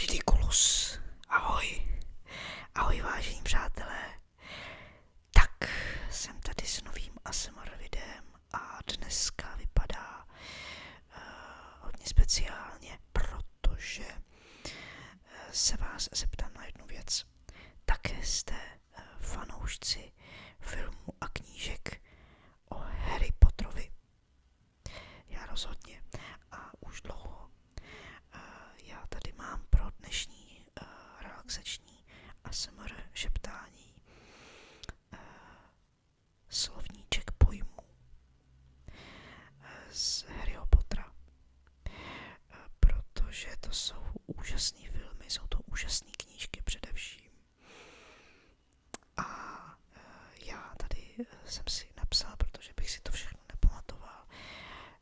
Ridiculus. Ahoj. Ahoj vážení přátelé. Tak, jsem tady s novým ASMR videem a dneska vypadá uh, hodně speciálně, protože uh, se vás zeptám na jednu věc. Také jste uh, fanoušci filmu a knížek o Harry Potterovi. Já rozhodně a už dlouho. Já tady mám pro dnešní relaxační ASMR šeptání slovníček pojmů z Harryho Pottera, protože to jsou úžasné filmy, jsou to úžasné knížky především. A eh, já tady eh, jsem si napsal, protože bych si to všechno nepamatoval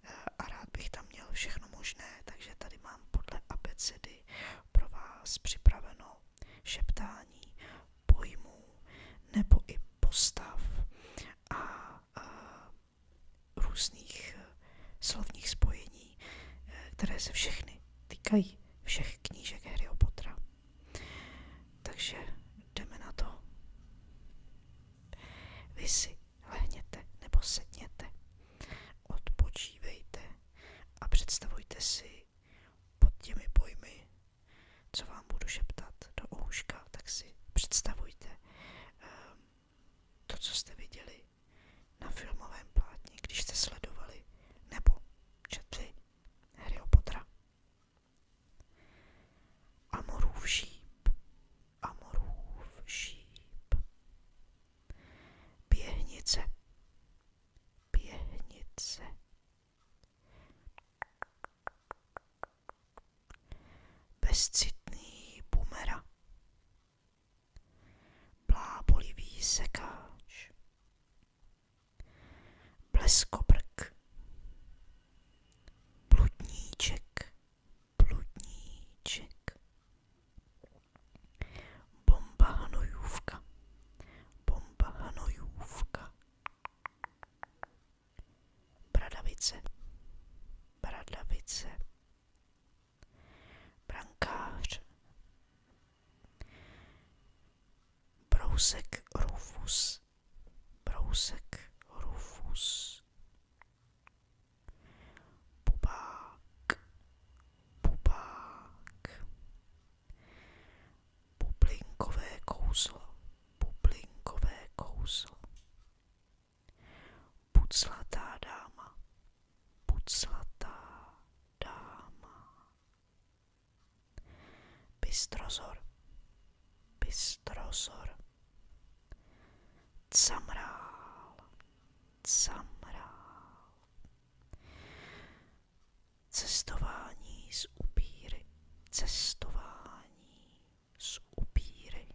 eh, a rád bych tam měl všechno možné, takže tady mám podle abecedy pro vás připraveno šeptání pojmů nebo i postav a, různých slovních spojení, které se všechny týkají všech knížek Harryho Pottera. Takže jdeme na to. Vy si lehněte nebo sedněte, odpočívejte a představujte si pod těmi pojmy, co vám budu šeptat do ouška, tak si představujte um, to, co jste viděli na filmovém plátně, když jste sledovali nebo četli Harry Pottera. Amorův šíp, Amorův šíp. Běhnice, běhnice. Bezcitný bumera. Blábolivý sekáč, Bleskobrk. Bludníček. Bludníček. Bomba hanojůvka. Bomba hanojůvka. Bradavice. Bradavice. Brankář. Brousek Rufus. Brousek Rufus Bubák Bubák Bublinkové kouzlo Bublinkové kouzlo Buclatá dáma Buclatá dáma Bystrozor, bystrozor. Camrál, camrál. Cestování z upíry, cestování z upíry.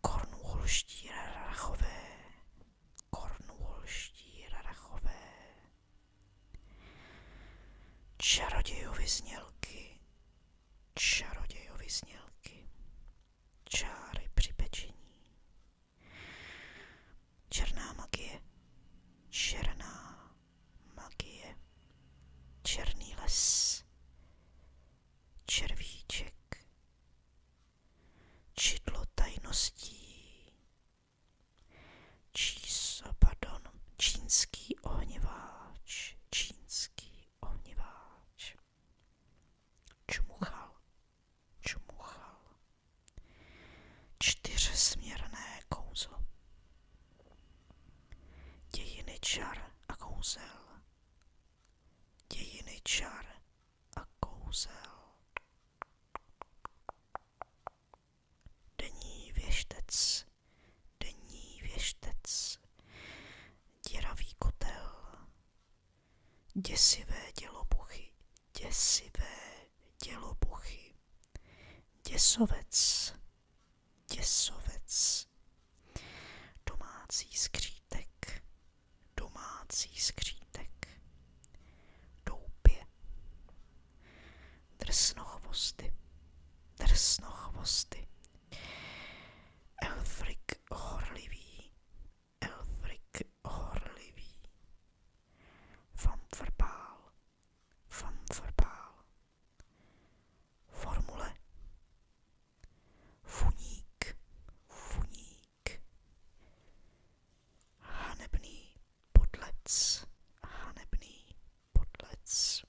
Kornulští rarachové, kornulští rarachové. Čarodějovy znělky, čarodějovy znělky, čáry při pečení. Černá magie, černá magie, černý les, červíček, čidlo tajností, Čís, pardon, čínský ohněváč, čínský ohněváč. Čmuchal, čmuchal. Čtyřsměrné kouzlo. Dějiny čar a kouzel. Dějiny čar a kouzel. Denní věštec, denní věštec, děravý kotel, děsivé dělobuchy, děsivé dělobuchy, děsovec, děsovec, domácí skřítek, domácí skřítek, doupě, Drsnochvosty. Drsnochvosty. Elfrik horlivý. Elfrik horlivý. Famfrbál. Famfrbál. Formule. Funík. Funík. Hanebný podlec. Hanebný Podlec,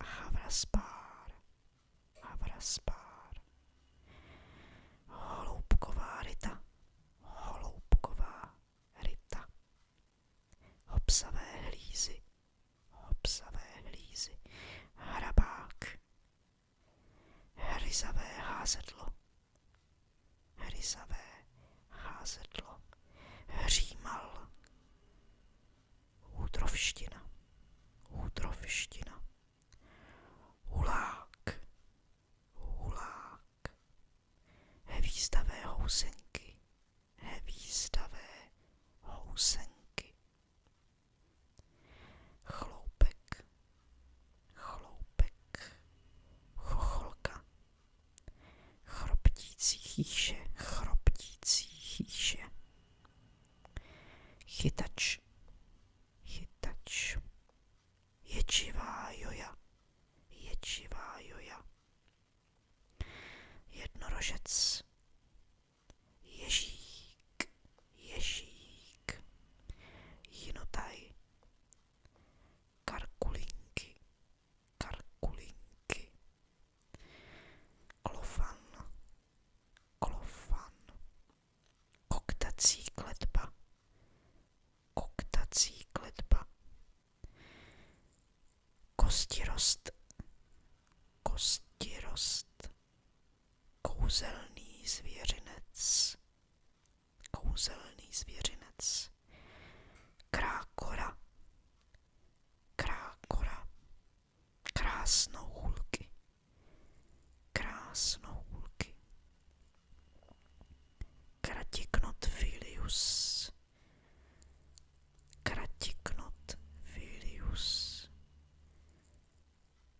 Havraspár, Havraspár, Holoubková ryta, Holoubková ryta, Hopsavé hlízy, Hopsavé hlízy, Hrabák, Hryzavé házedlo, Ryzavé házedlo hřímal. Útrovština, útrovština. Hulák, hulák. Hvízdavé housenky, hvízdavé housenky. Chloupek, chloupek. Chocholka, Chroptící chýše, chroptící chýše. Chytač, chytač. Ječivá joja, ječivá joja. Jednorožec, ježík, ježík. Jinotaj, karkulinky, Karkulinky. Klofan. Klofan. Koktací kletba. Koktací kletba. Kostirost. Kostirost. Kouzelný zvěřinec. Kouzelný zvěřinec. Krákora, krákora, krásnohůlky, krásnohůlky. Kratiknot Vilius, kratiknot Vilius.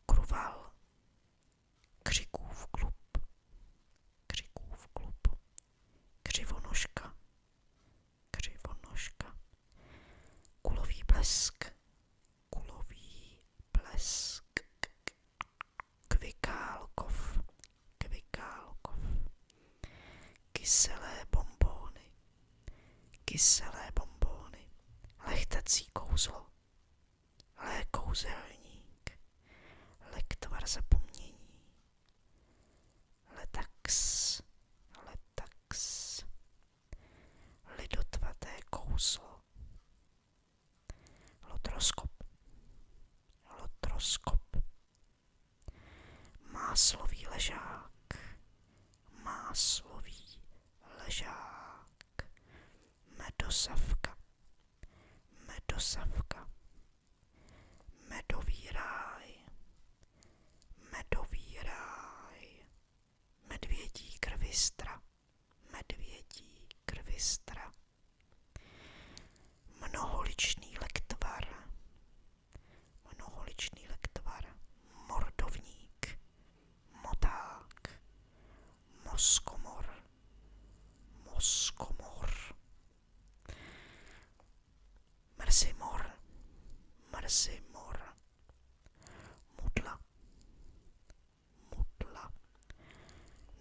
Kruval, křikův klub, křikův klub. Křivonožka, křivonožka, kulový blesk, kulový blesk, kvikálkov, kvikálkov, kyselé bombóny, kyselé bombóny, lechtací kouzlo, lékouzelník, lektvar zapomnění, Letax, letax, lidotvaté kouzlo, lotroskop, lotroskop, máslový ležák, máslový ležák, medosavka, medosavka, Medový ráj, medový ráj, medvědí krvistra, medvědí krvistra. Mnoholičný lektvar, mnoholičný lektvar, mordovník, moták, moskomor, moskomor, Mrzimor, mrzimor, mudla, mudla,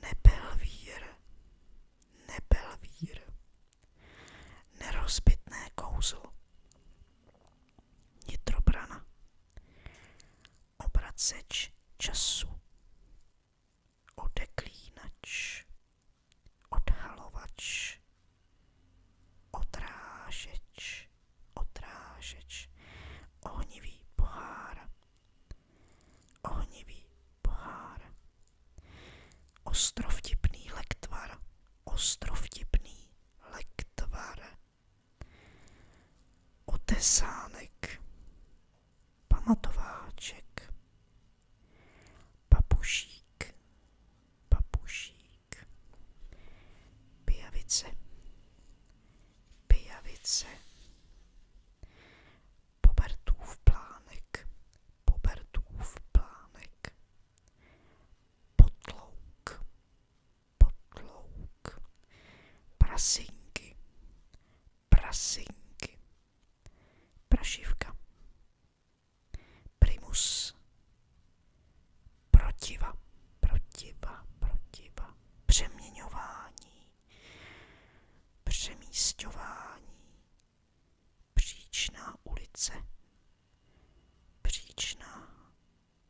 nepelvír, nepelvír, nerozbitné kouzlo, nitrobrana, obraceč času, odeklínač, odhalovač, odrážeč, odrážeč, ohnivý pohár, ohnivý pohár, ostrovtipný lektvar, ostrovtipný lektvar, otesánek, pamatováček, papušík, papušík, pijavice, pijavice, pobertův plánek, pobertův plánek, potlouk, potlouk, prasinky, prasinky, prašivka, Primus. Protiva, protiva, protiva. Přeměňování. Přemístování. Příčná ulice. Příčná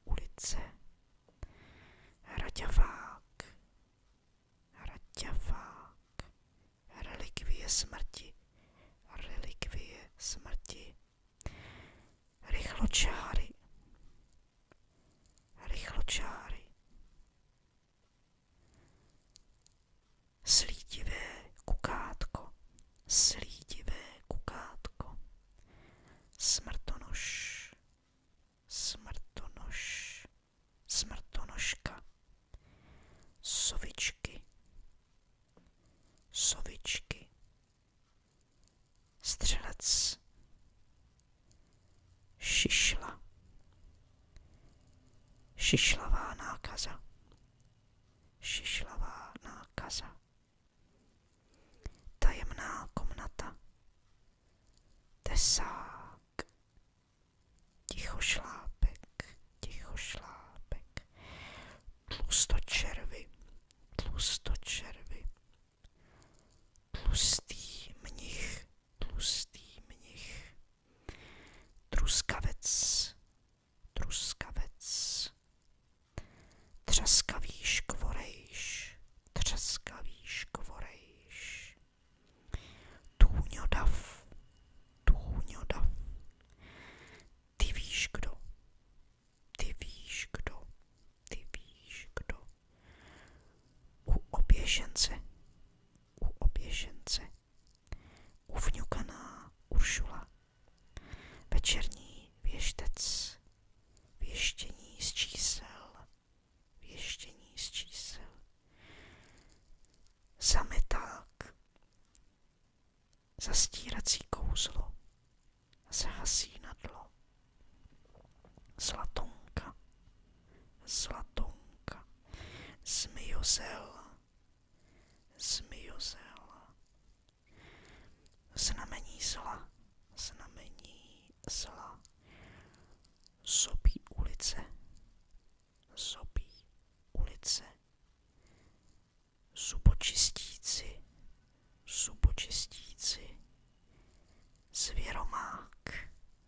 ulice. Raďavák. Raďavák relikvie smrti, relikvie smrti, rychločáry, rychločáry, slítivé kukátko, slítivé kukátko, smrtonož, smrtonož, smrtonožka sovičky, sovičky, střelec, šišla, šišlavá nákaza, šišlavá nákaza, tajemná komnata, tesák, tichošláp, tichošlápek, tlustočervy, tlustočervy, tlustý mnich, tlustý mnich, truskavec, truskavec, třaskavý škvorejš, třaskavý škvorejš, tůňodav, tůňodav, ty víš kdo. Ty víš kdo. Ty víš kdo. U oběšence. U oběšence. Uvňukaná Uršula. Večerní věštec. Věštění z čísel. Věštění z čísel. Zameták. Zastírací kouzlo se hasí na dlo. Zlatonka, zlatonka, zmiozel, zmiozel. Znamení zla, znamení zla. Zobí ulice, zobí ulice zubočistíci, zubočistíci, zvěromák,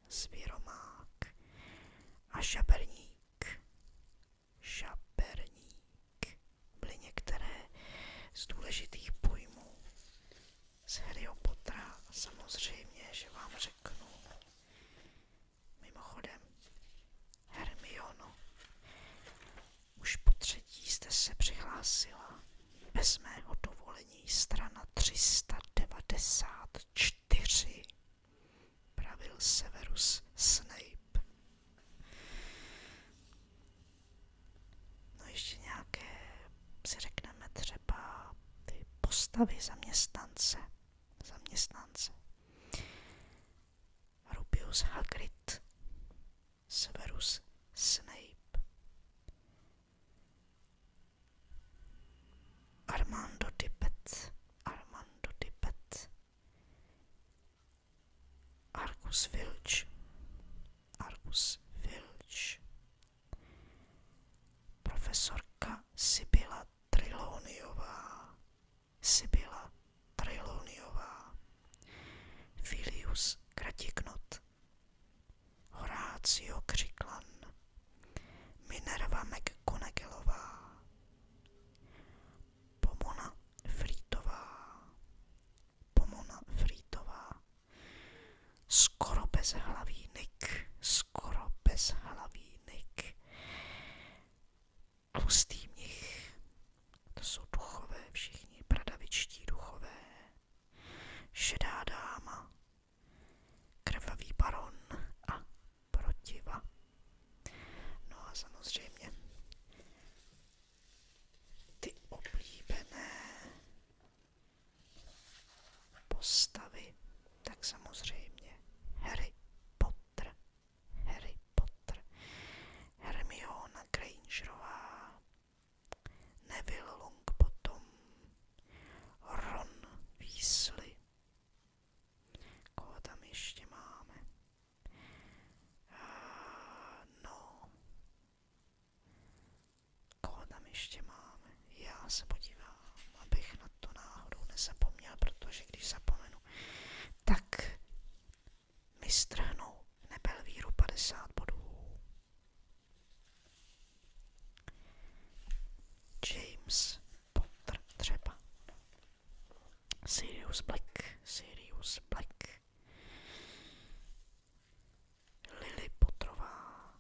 zvěromák a šaperník, šaperník byly některé z důležitých pojmů z Harryho Pottera. Samozřejmě, že vám řeknu, Mimochodem, Hermiono, už po třetí jste se přihlásila bez mého dovolení strana 394, pravil Severus Snape. No ještě nějaké, si řekneme třeba ty postavy zaměstnance. Zaměstnance. Rubius Hagrid, Severus Snape, Armando Tippett, Armando Tippett, Argus Filch, Argus Filch, profesorka Sibyla Triloniová, Sibyla Trajloniová, Filius Kratiknot, Horácio Křiklan, Minerva McGonagallová, Pomona Frýtová, Pomona Frýtová, skoro bez Nick, skoro bezhlavý Nick, tlustý mnich, to jsou duchové všichni, bradavičtí duchové, šedá dáma, krvavý baron a protiva. No a samozřejmě ty oblíbené postavy, tak samozřejmě Harry Potter Harry Potter, Hermiona Grangerová, Neville Longbottom, Ron Weasley, koho tam ještě máme, eh, no, koho tam ještě máme, já se podívám, abych na to náhodou nezapomněl, protože když zapomenu, tak Mistr hnu nebyl víru 50 bodů. James Potter třeba. Sirius Black, Sirius Black. Lily Potrová,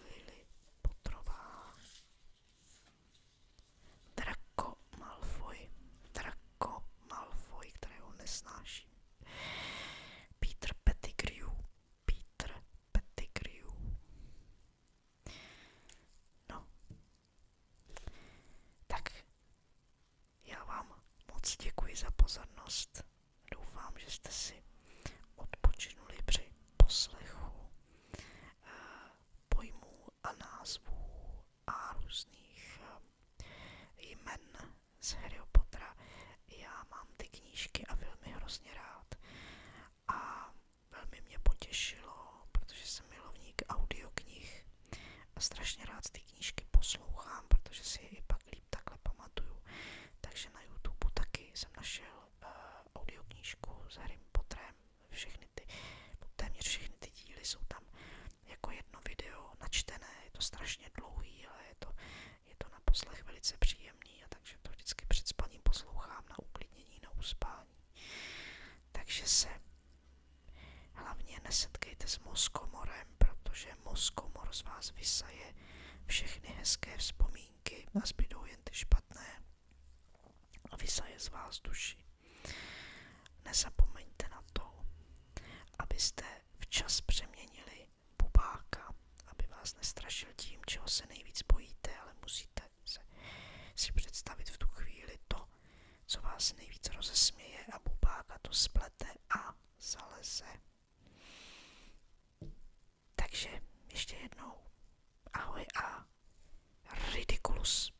Lily Potrová. Draco Malfoy. Draco Malfoy, kterého nesnáším. Peter Pettigrew. Peter Pettigrew. No. Tak. Já vám moc děkuji za pozornost. Doufám, že jste si odpočinuli při poslechu eh, pojmů a názvů a různých eh, jmen z Harryho Pottera. Já mám ty knížky a filmy hrozně rád. A velmi mě potěšilo, protože jsem milovník audioknih a strašně rád ty knížky poslouchám, protože si je i pak líp takhle pamatuju. Takže na YouTube taky jsem našel uh, audioknížku s Harrym Potterem. Všechny ty, no, téměř všechny ty díly jsou tam jako jedno video načtené, je to strašně dlouhý, ale je to, je to na poslech velice příjemný a takže to vždycky před spaním poslouchám na uklidnění, na uspání. Takže se hlavně nesetkejte s mozkomorem, protože mozkomor z vás vysaje všechny hezké vzpomínky a zbydou jen ty špatné a vysaje z vás duši. Nezapomeňte na to, abyste včas přeměnili bubáka, aby vás nestrašil tím, čeho se nejvíc bojíte, ale musíte se, si představit v tu chvíli to, co vás nejvíc rozesměje a bubáka to splete a zaleze. Takže ještě jednou ahoj a ridiculus.